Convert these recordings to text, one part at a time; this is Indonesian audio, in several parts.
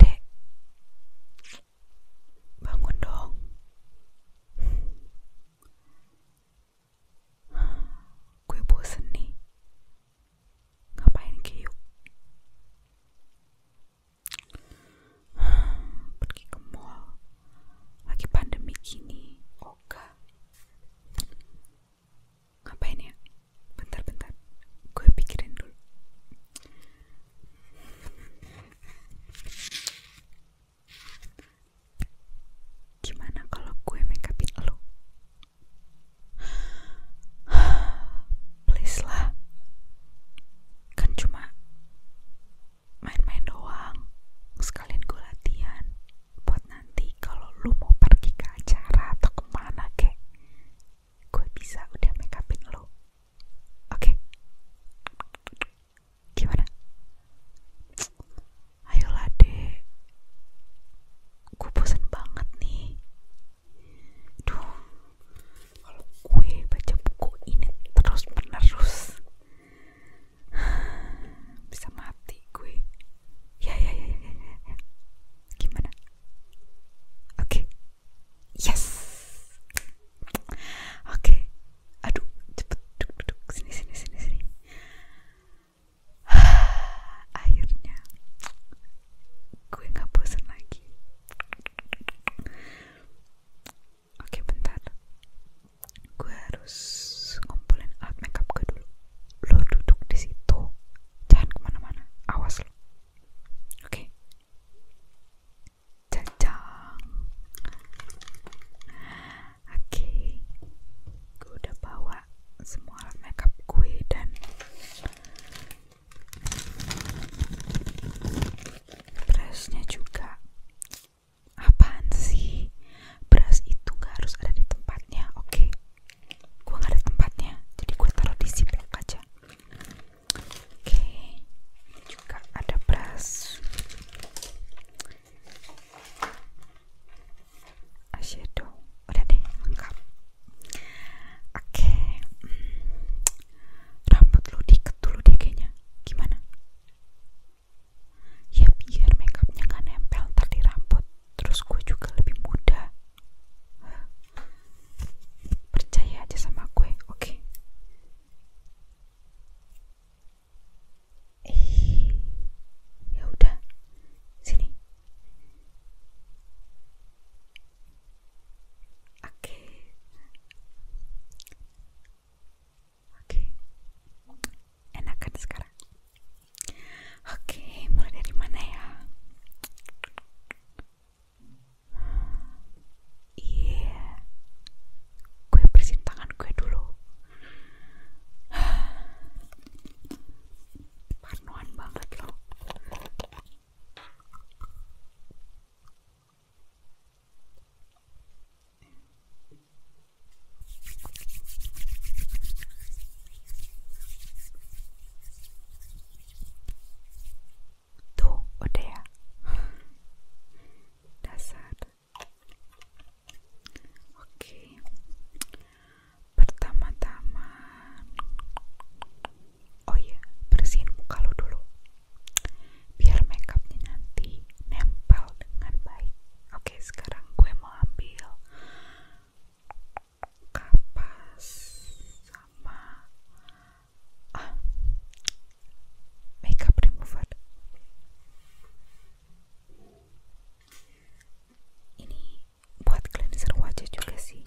Dek, bangun dong. Gue bosan nih. Ngapain kiuk? Pergi ke mall. Lagi pandemi gini. Oga. Ngapain ya? Bentar-bentar. Gue pikirin dulu. Gimana kalau gue make lu lo? Please lah. Kan cuma main-main doang. Sekalian gue latihan buat nanti kalau lu mau pergi ke acara atau kemana kek gue bisa udah make upin lo. Oke. Gimana? Ayolah, Dek. Gue bosen banget nih. dong. Kalau gue baca buku ini terus-menerus bisa mati gue. Ya ya ya ya ya. ya. Gimana? Oke. Yes. Oke. Aduh, cepet duduk duduk sini sini sini sini. Akhirnya gue nggak bosan lagi. Oke, bentar. Gue harus ngumpulin alat makeup gue dulu. Lo duduk di situ. Jangan kemana-mana. Awas lo. Oke. Cacang. Oke. Okay. Gue udah bawa semua alat makeup gue dan brushnya juga. Apaan sih? Brush itu gak harus ada di tempatnya. Oke. Okay. Gue gak ada tempatnya. Jadi gue taruh di ziplock aja. Oke, juga ada brush eyeshadow. Udah deh, lengkap. Oke, hmm, rambut lu diikat dulu deh kayaknya. Gimana? Ya biar makeupnya nggak nempel ntar di rambut. Terus gue juga lebih mudah percaya aja sama gue oke eh ya udah sini oke oke enak kan sekarang oke okay, mulai dari mana ya Iya, gue bersihin tangan gue dulu. Parnoan banget loh då och det. Dasar. Oke. Pertama-tama Oh iya, bersihin muka lo dulu. Biar makeupnya nanti nempel dengan baik. Oke, sekarang gue mau ambil kapas sama makeup remover ini buat cleanser wajah juga sih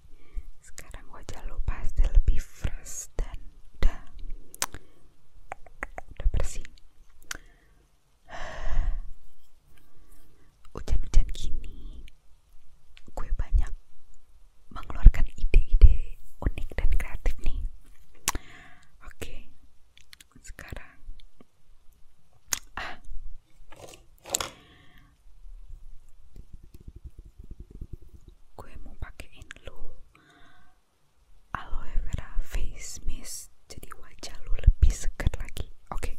Sekarang wajah lupa pasti lebih fresh dan udah, udah bersih. Hujan-hujan gini, gue banyak mengeluarkan ide-ide unik dan kreatif nih. Oke, sekarang ah, gue mau pakein lu aloe vera face mist jadi wajah lu lebih segar lagi Oke,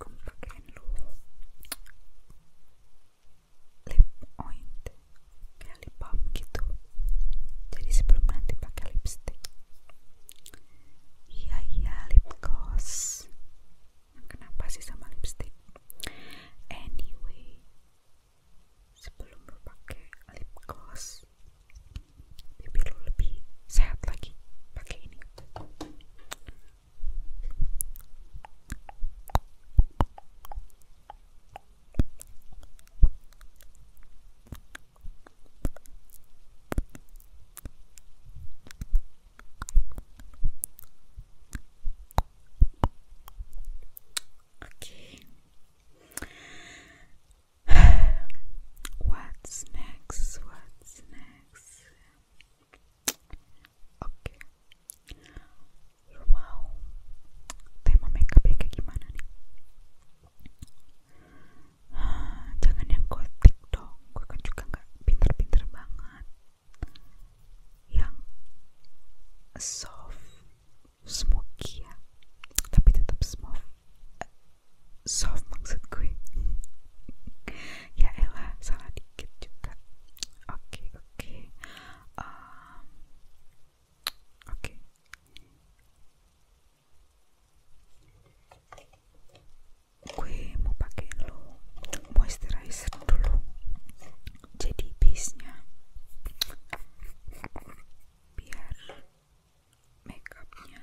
kamu pakein lu lip oint kayak lip balm gitu jadi sebelum nanti pakai lipstick iya iya lip gloss nah, kenapa sih sama lipstick anyway sebelum lu pakai lip gloss bibir lo lebih sehat lagi pakai ini Oke, What's next? What's next? Oke, okay. tema makeupnya kayak gimana nih? Jangan yang gotik dong, gue kan juga nggak pinter-pinter banget. Yang soft, smoky ya, tapi tetap smooth soft maksud gue ya elah salah dikit juga oke oke okay. oke Kue mau pakai lo moisturizer dulu jadi base nya biar makeupnya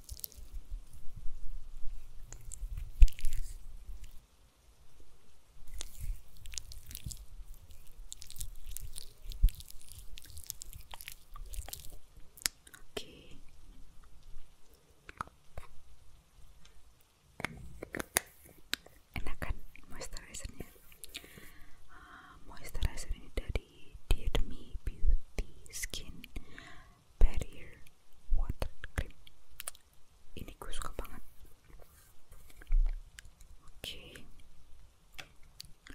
Oke. Enak kan moisturizernya? Ah, moisturizer ini dari Dear Me Beauty Skin barrier water cream ini gue suka banget oke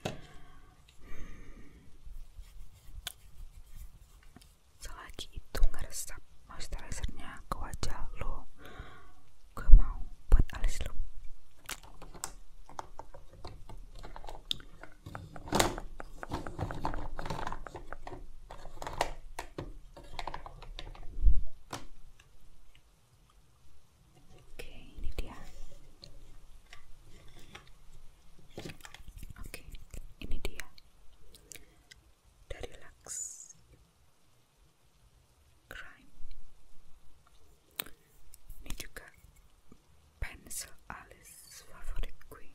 hmm. selagi itu ngeresap moisturizernya ke wajah lo gue mau buat alis lo Okay, Nitya. Okay, Nitya. Daddy Lux. Crime. Nijuka. Pencil Alice. Favorite Queen.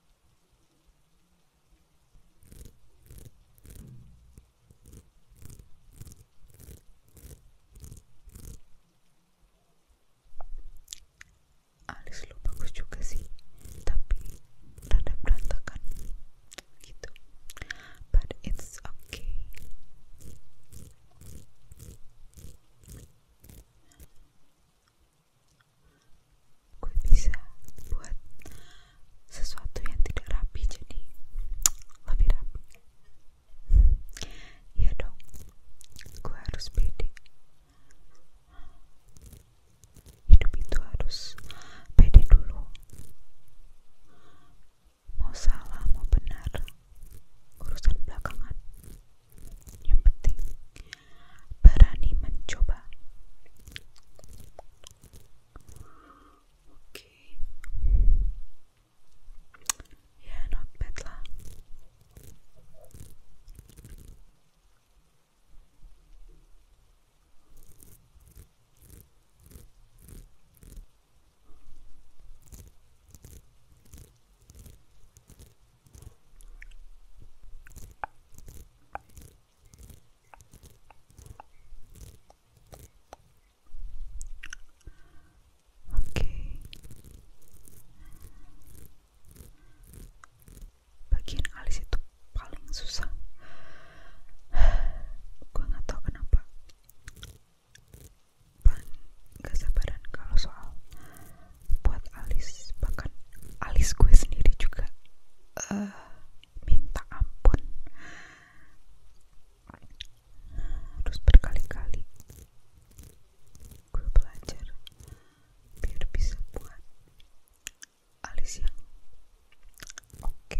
alis lu bagus juga sih tapi rada berantakan gitu but it's okay gue bisa buat sesuatu yang tidak rapi jadi lebih rapi ya dong gue harus pede hidup itu harus pede dulu mau salah mau benar urusan belakangan yang penting berani mencoba oke ya yeah, not Oke, bagian alis itu paling susah. Gue nggak tau kenapa. Paling gak sabaran kalau soal buat alis bahkan alis gue sendiri juga eh, minta ampun terus berkali-kali gue belajar biar bisa buat alis yang oke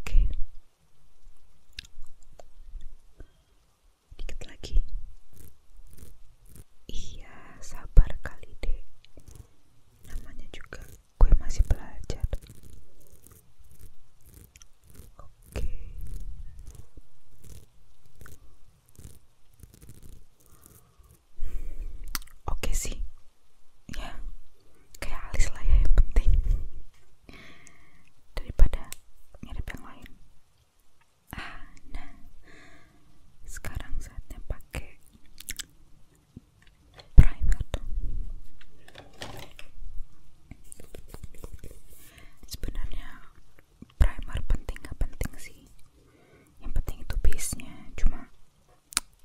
Oke. Dikit lagi. Iya, sabar kali deh. Namanya juga gue masih belajar. Oke. Oke sih, ya kayak alis lah ya yang penting daripada mirip yang lain. Ah, nah sekarang saatnya pakai primer. Sebenarnya primer penting gak penting sih yang penting itu base nya cuma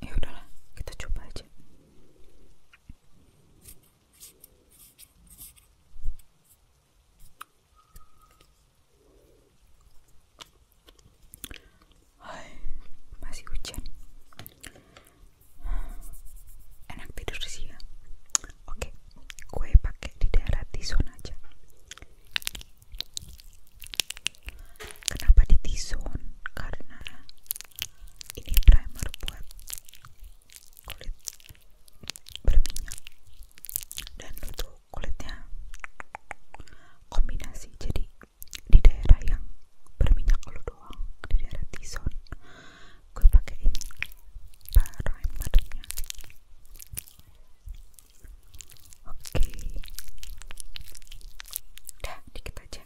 ya udahlah kita coba aja masih hujan enak tidur sih ya oke kue pakai di daerah Tison aja Kenapa di T-zone? Karena ini primer buat kulit berminyak dan untuk kulitnya kombinasi jadi di daerah yang berminyak lu doang di daerah T-zone gue pakein primernya Oke. Dah, dikit aja.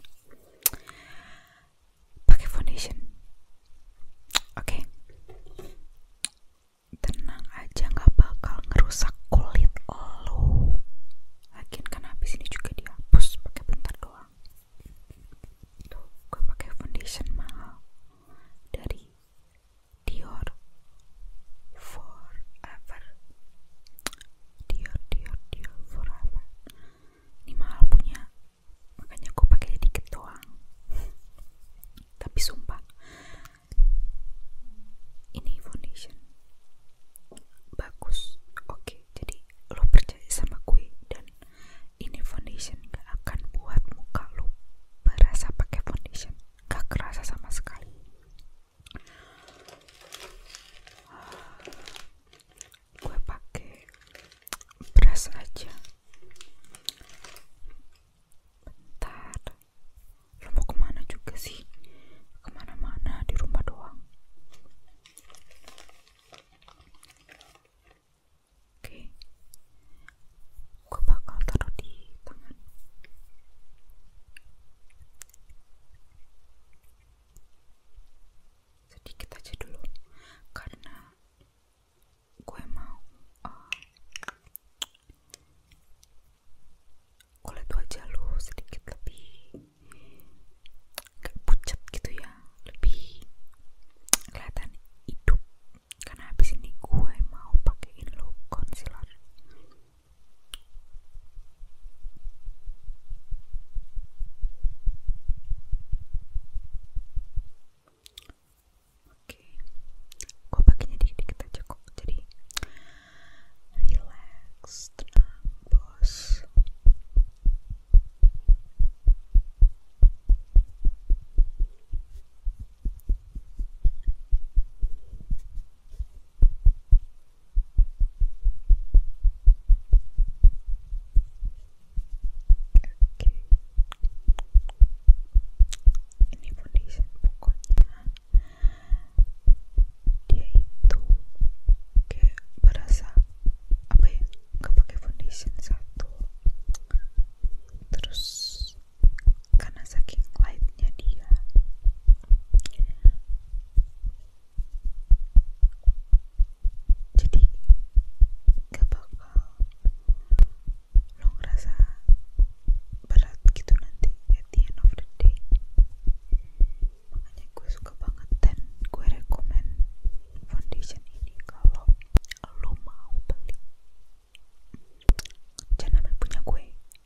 Pakai foundation. Oke. Tenang aja, nggak bakal ngerusak kulit lo. Lagian kan habis ini juga dihapus pakai bentar doang. Tuh, gue pakai foundation mahal dari Dior Forever Dior Dior Dior Forever ini mahal punya makanya aku pakai dikit doang tapi sumpah ini foundation bagus oke jadi lo percaya sama gue dan ini foundation gak akan buat muka lo berasa pakai foundation gak kerasa sama sekali gue pakai beras aja bentar lo mau kemana juga sih kemana-mana di rumah doang oke gue bakal taruh di tangan sedikit aja dulu karena gue mau uh, eh, itu aja lo sedikit lebih gak pucat gitu ya lebih kelihatan hidup karena habis ini gue mau pakein lo concealer Oke, gue pakainya di dikit aja kok. Jadi relax, tenang, bos. Oke. Ini foundation pokoknya dia itu kayak berasa apa ya? Enggak pakai foundation satu. Terus karena saking lightnya dia jadi gak bakal lo ngerasa berat gitu nanti at the end of the day makanya gue suka banget dan gue rekomend foundation ini kalau lo mau beli jangan ambil punya gue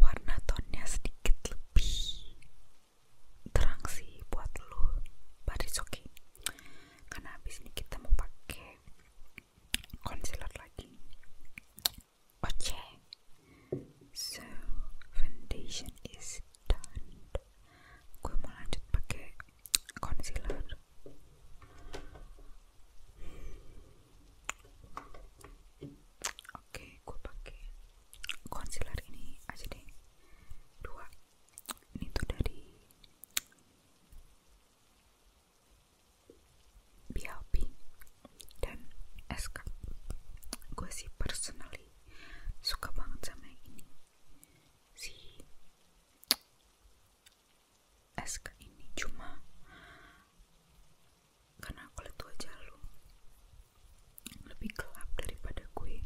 warna tonnya sedikit lebih terang sih buat lo but it's karena habis ini kita mau pakai concealer lagi Oke, so foundation is done. Gue mau lanjut pakai concealer. Oke, gue pakai concealer ini aja deh. Dua. Ini tuh dari BLP dan SK gue sih personally suka banget sama ini si SK ini cuma karena kulit wajah lu lebih gelap daripada gue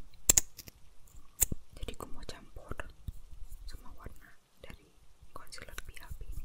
jadi gue mau campur sama warna dari concealer BLP ini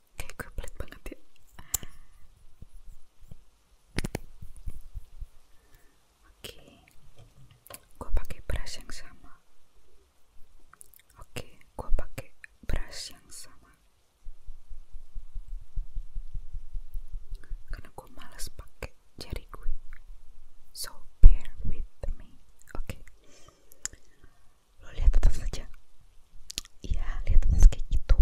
kayak gue pelit banget ya oke gue pakai brush yang sama oke gue pakai brush yang sama karena gue malas pakai jari gue so bear with me oke lo lihat tetap saja ya lihat mas kayak gitu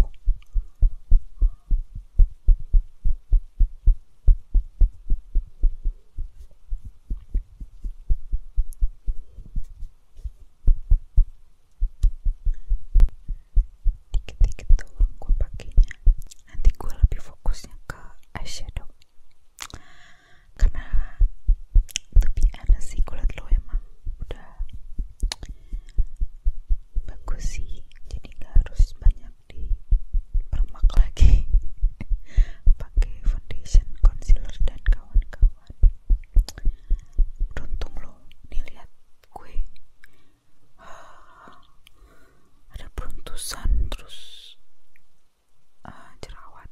dikit-dikit tuh gue pakainya nanti gue lebih fokusnya ke eyeshadow karena lebih be sih kulit lo emang udah bagus sih jadi nggak harus banyak dipermak lagi pakai foundation concealer dan kawan-kawan beruntung loh nih lihat gue ada peruntusan terus uh, jerawat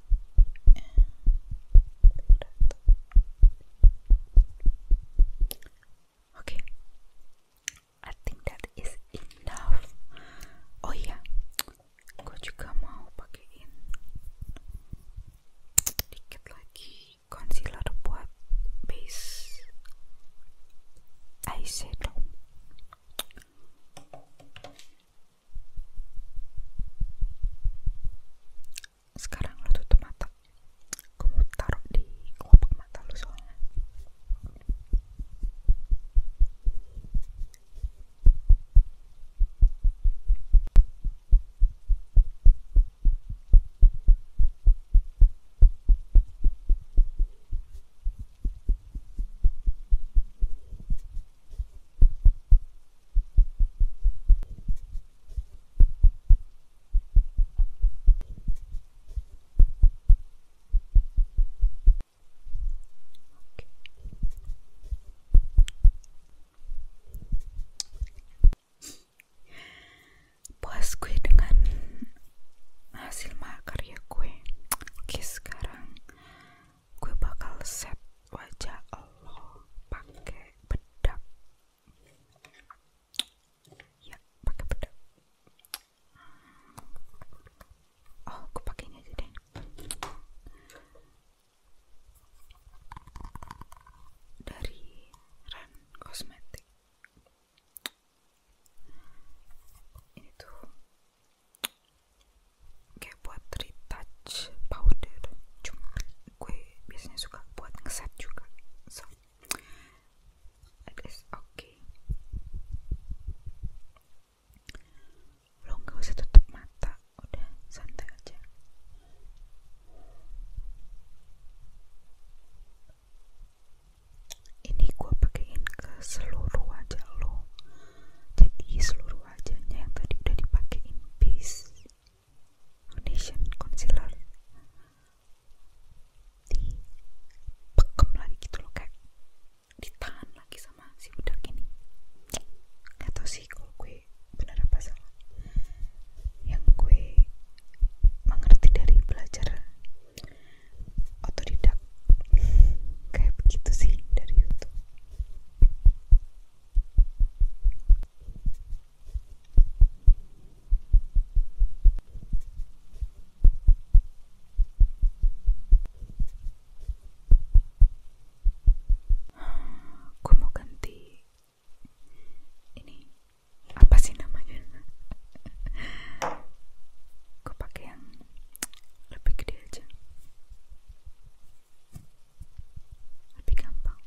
Oke, okay. I think that is enough. Oh iya, yeah. gue juga mau pakein sedikit lagi concealer buat base eyeshadow sekarang lo tutup mata gue taruh di kelopak mata lo soalnya puas gue dengan hasil karya gue oke sekarang gue bakal set wajah Allah pakai bedak ya pakai bedak oh aku pakai ini aja deh dari Ren kosmetik ini tuh kayak buat retouch powder cuma gue biasanya suka buat ngeset juga so it is okay lo gak usah tutup mata udah santai aja ini gue pakein ke seluruh wajah lo jadi seluruh wajahnya yang tadi udah dipakein bis foundation concealer dipekem lagi gitu loh kayak di tahan lagi sama si budak ini gak tau sih kalau gue benar apa salah yang gue mengerti dari belajar otodidak kayak begitu sih dari YouTube Aku mau ganti ini apa sih namanya? Kau pakai yang lebih gede aja lebih gampang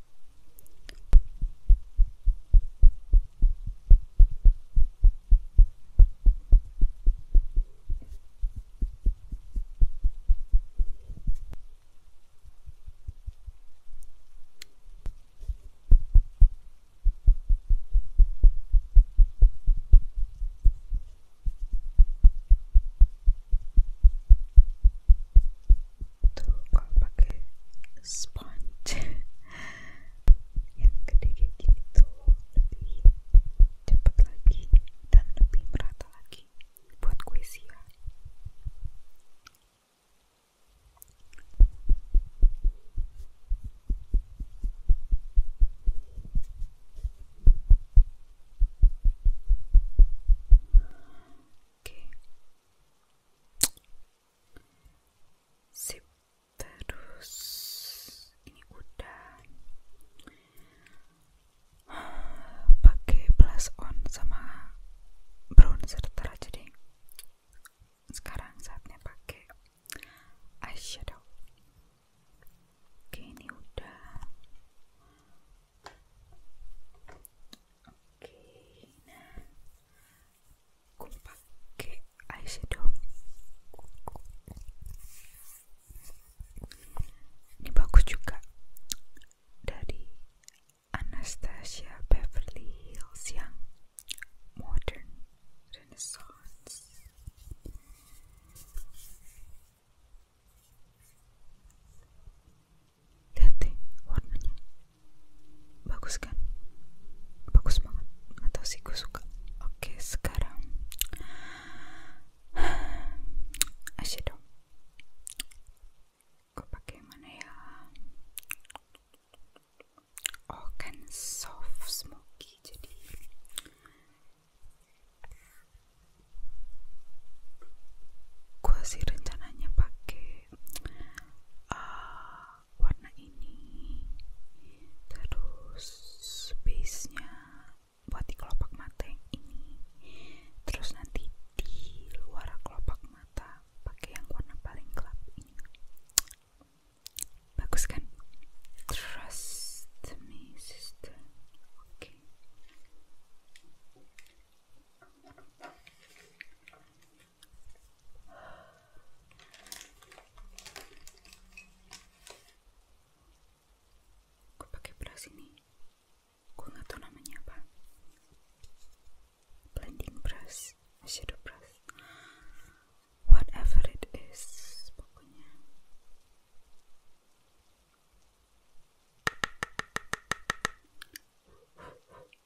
tuh kalau pakai sponge yang gede kayak gini tuh lebih cepat lagi dan lebih merata lagi buat kue siang Okay. Sip. Terus ini udah pakai blush on sama bronzer aja jadi Sekarang saatnya pakai eyeshadow. Oke, ini udah Oke, nah, Ini bagus juga dari Anastasia Beverly Hills yang modern renaissance. Lihat deh warnanya. Bagus kan? Bagus banget. Atau sih gue Oke, sekarang eyeshadow. Gue pakai mana ya? Oh, kan soft smoky jadi gue sih rencananya pakai Ah, warna ini terus base nya buat di kelopak mata yang ini terus nanti di luar kelopak mata pakai yang warna paling gelap bagus kan trust me sister oke Gue pakai beras ini. Gue nggak tahu namanya apa. Blending brush, shadow brush, whatever it is, pokoknya.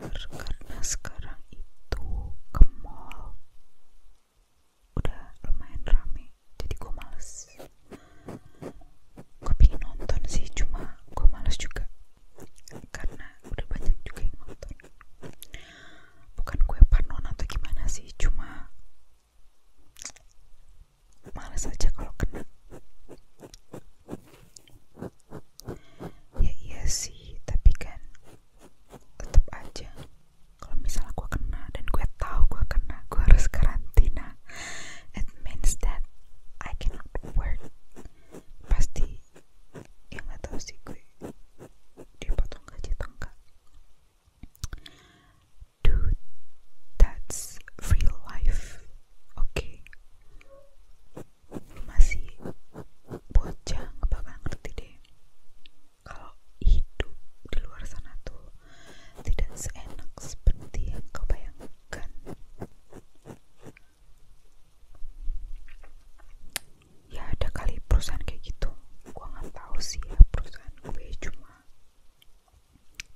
karena sekarang itu ke mall udah lumayan rame jadi gue males gue pengen nonton sih cuma gue males juga karena udah banyak juga yang nonton bukan gue panon atau gimana sih cuma males aja kalau kena ya iya sih tapi kan tetap aja kalau misalnya gue kena dan gue tahu gue kena gue harus karantina it means that I cannot work pasti ya nggak tahu sih gue dipotong gaji atau dude that's real life oke masih bocah nggak bakal ngerti deh kalau hidup di luar sana tuh tidak seenak seperti yang kau bayangkan ya ada kali perusahaan kayak gitu gue nggak tahu sih ya perusahaan gue cuma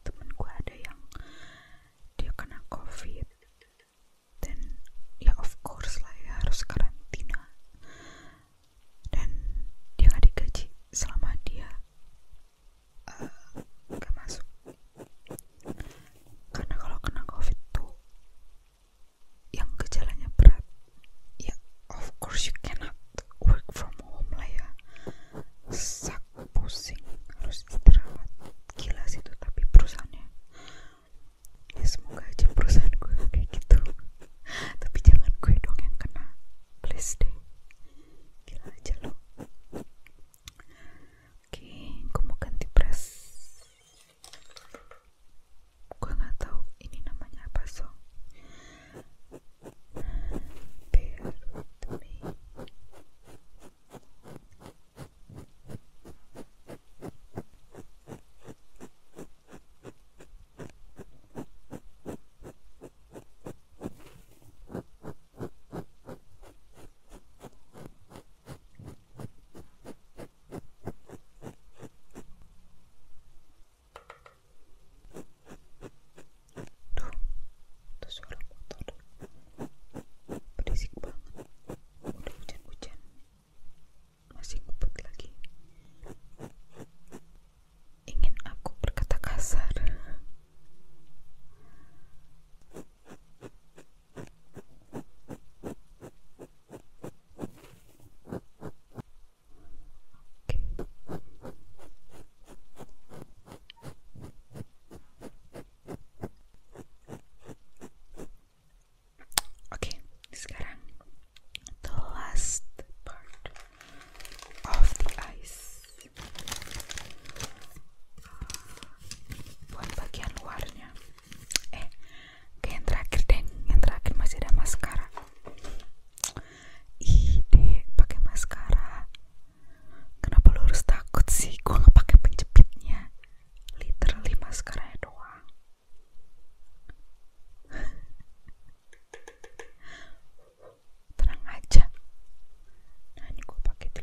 temen gue ada yang dia kena covid dan ya of course lah ya harus karantina dan dia gak digaji selama dia uh, eh, gak masuk karena kalau kena covid tuh yang gejalanya berat ya of course you cannot work from home lah ya sak pusing harus istirahat gila sih itu tapi perusahaannya Ya, semoga aja perusahaan gue kayak gitu tapi jangan gue dong yang kena please deh gila aja lo oke gue mau ganti brush gue nggak tahu ini namanya apa so bear with me Duh, itu suara motor berisik banget udah hujan-hujan masih kubut lagi ingin aku berkata kasar Oke, sekarang the last part of the ice. Ah, buat bagian luarnya. Eh, ke yang terakhir deh, yang terakhir masih ada maskara. Ide pakai maskara. Kenapa lo harus takut sih? Gue nggak pakai penjepitnya. Literally maskaranya doang terang aja. Nah, ini gue pakai di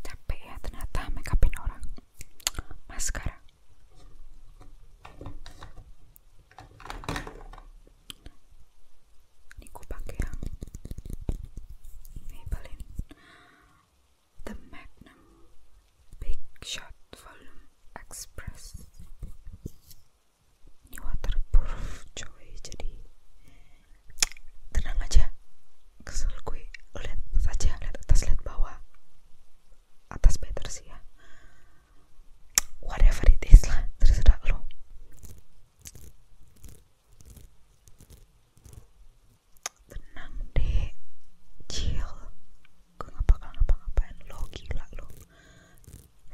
capek ya ternyata makeupin orang. Maskara. Ini ku pakai yang Maybelline The Magnum Big Shot Volume Express. Ini waterproof coy jadi tenang aja kesel gue lihat saja lihat atas lihat bawah atas better sih ya whatever it is lah terserah lo tenang deh chill gue gak bakal ngapa-ngapain lo lah lo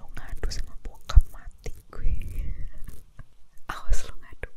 lo ngadu sama bokap mati gue awas lo ngadu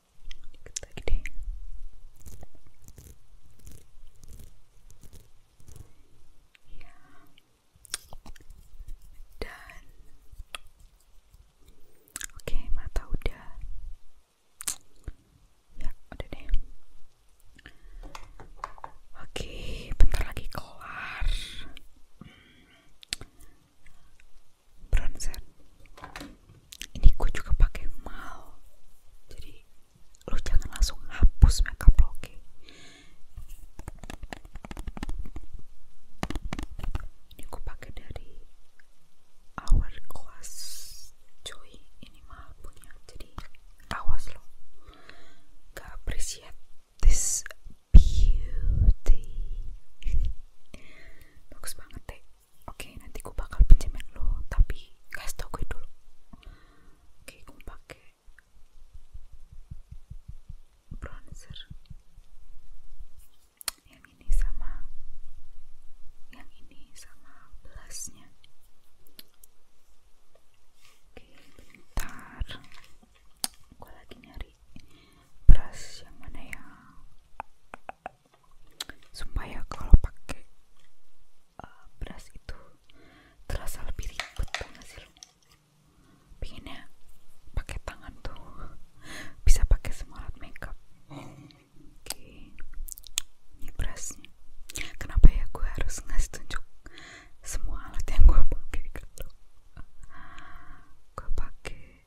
dikit deh ya dan oke mata udah ya udah deh oke bentar lagi kelar bronzer ini gue juga pakai mal jadi lu jangan langsung hapus makeup lo ini gue pakai dari hourglass cuy ini mah punya jadi awas lo gak appreciate this beauty bagus banget deh oke nanti gue bakal pinjemin lo tapi kasih tau gue dulu oke okay, gue pakai bronzer yang ini sama yang ini sama blushnya oke bentar gue lagi nyari brush yang mana ya supaya kalau pakai uh, beras itu terasa lebih ribet kan hasilnya pinginnya pakai tangan tuh bisa pakai semua alat makeup oke okay. ini berasnya kenapa ya gue harus ngasih tunjuk semua alat yang gue pakai gitu gue pakai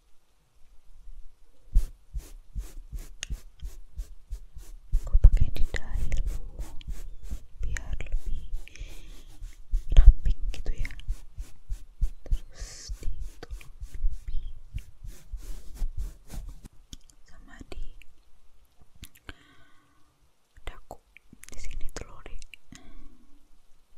aku pakai di dahil lu biar lebih ramping gitu ya terus di tulang pipi sama di daku di sini telur deh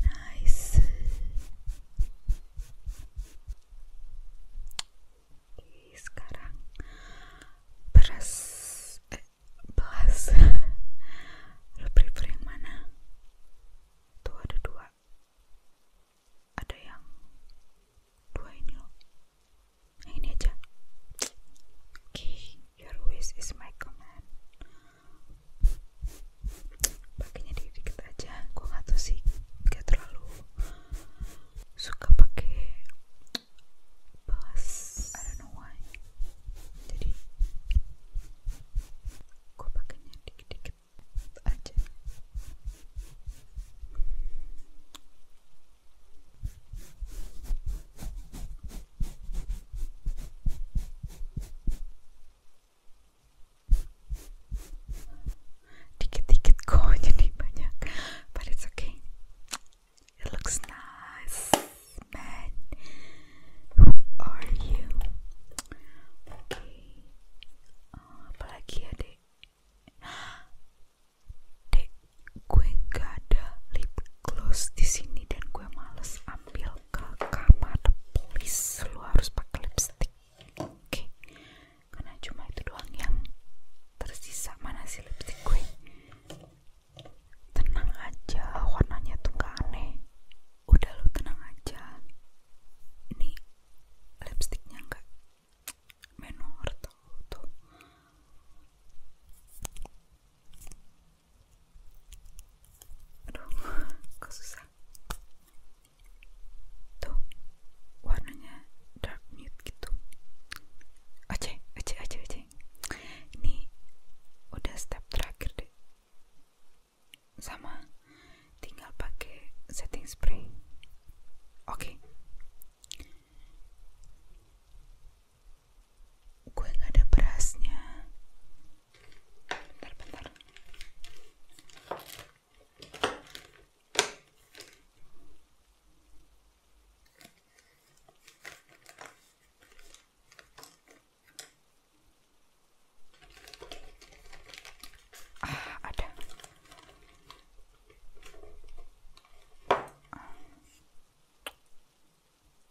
Nice. Oke, sekarang beras eh belas. Lo prefer yang mana? Tuh ada dua. Ada yang dua ini loh. Nah ini aja. Oke, okay. your wish is my command. Pakainya dikit-dikit aja. Gue nggak tahu sih, gak terlalu suka pakai Pas. I don't know why. Jadi gue pakainya dikit-dikit aja. Dikit-dikit kok jadi banyak, but it's okay. It looks nice, man. Who are you? Oke, okay. oh, apalagi ya dek? gue nggak ada lip gloss di sini dan gue males ambil ke kamar please lu harus pakai lipstick oke karena cuma itu doang yang tersisa mana sih lipstick gue tenang aja warnanya tuh gak aneh udah lo tenang aja ini lipstiknya nggak menor tuh aduh kok susah tuh warnanya dark nude gitu oce oce oce oce ini udah step terakhir deh sama tinggal pakai setting spray oke gue nggak ada berasnya bentar bentar ah, ada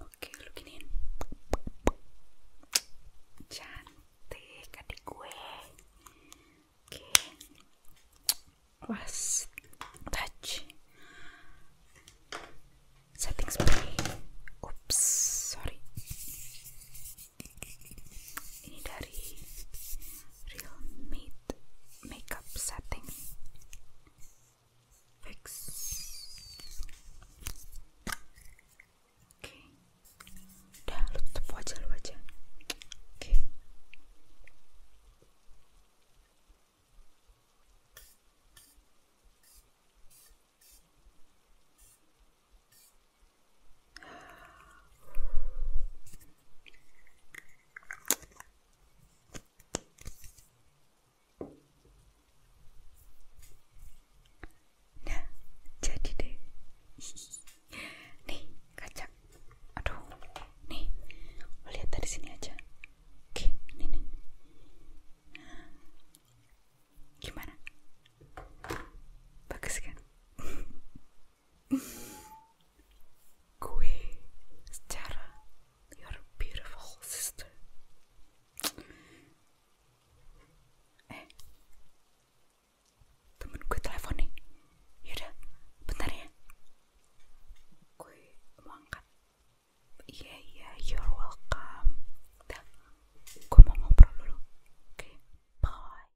Oke, looking in. Cantik adik gue. Oke. Was touch. Setting spray. Oops, sorry ini dari Realme Makeup Setting Fix oke udah lu tutup wajah lu aja Oke, Nah, jadi deh. Nih, kacang. Aduh. Nih. lihat dari sini aja. Oke, ini nih. Nah. Gimana? Bagus kan? Gui, it's Terra, your beautiful sister. Eh, temenku telepon nih. Yaudah, bentar ya. Gue mau angkat. yeah, yeah, you're welcome. gue mau ngobrol dulu. Oke, bye.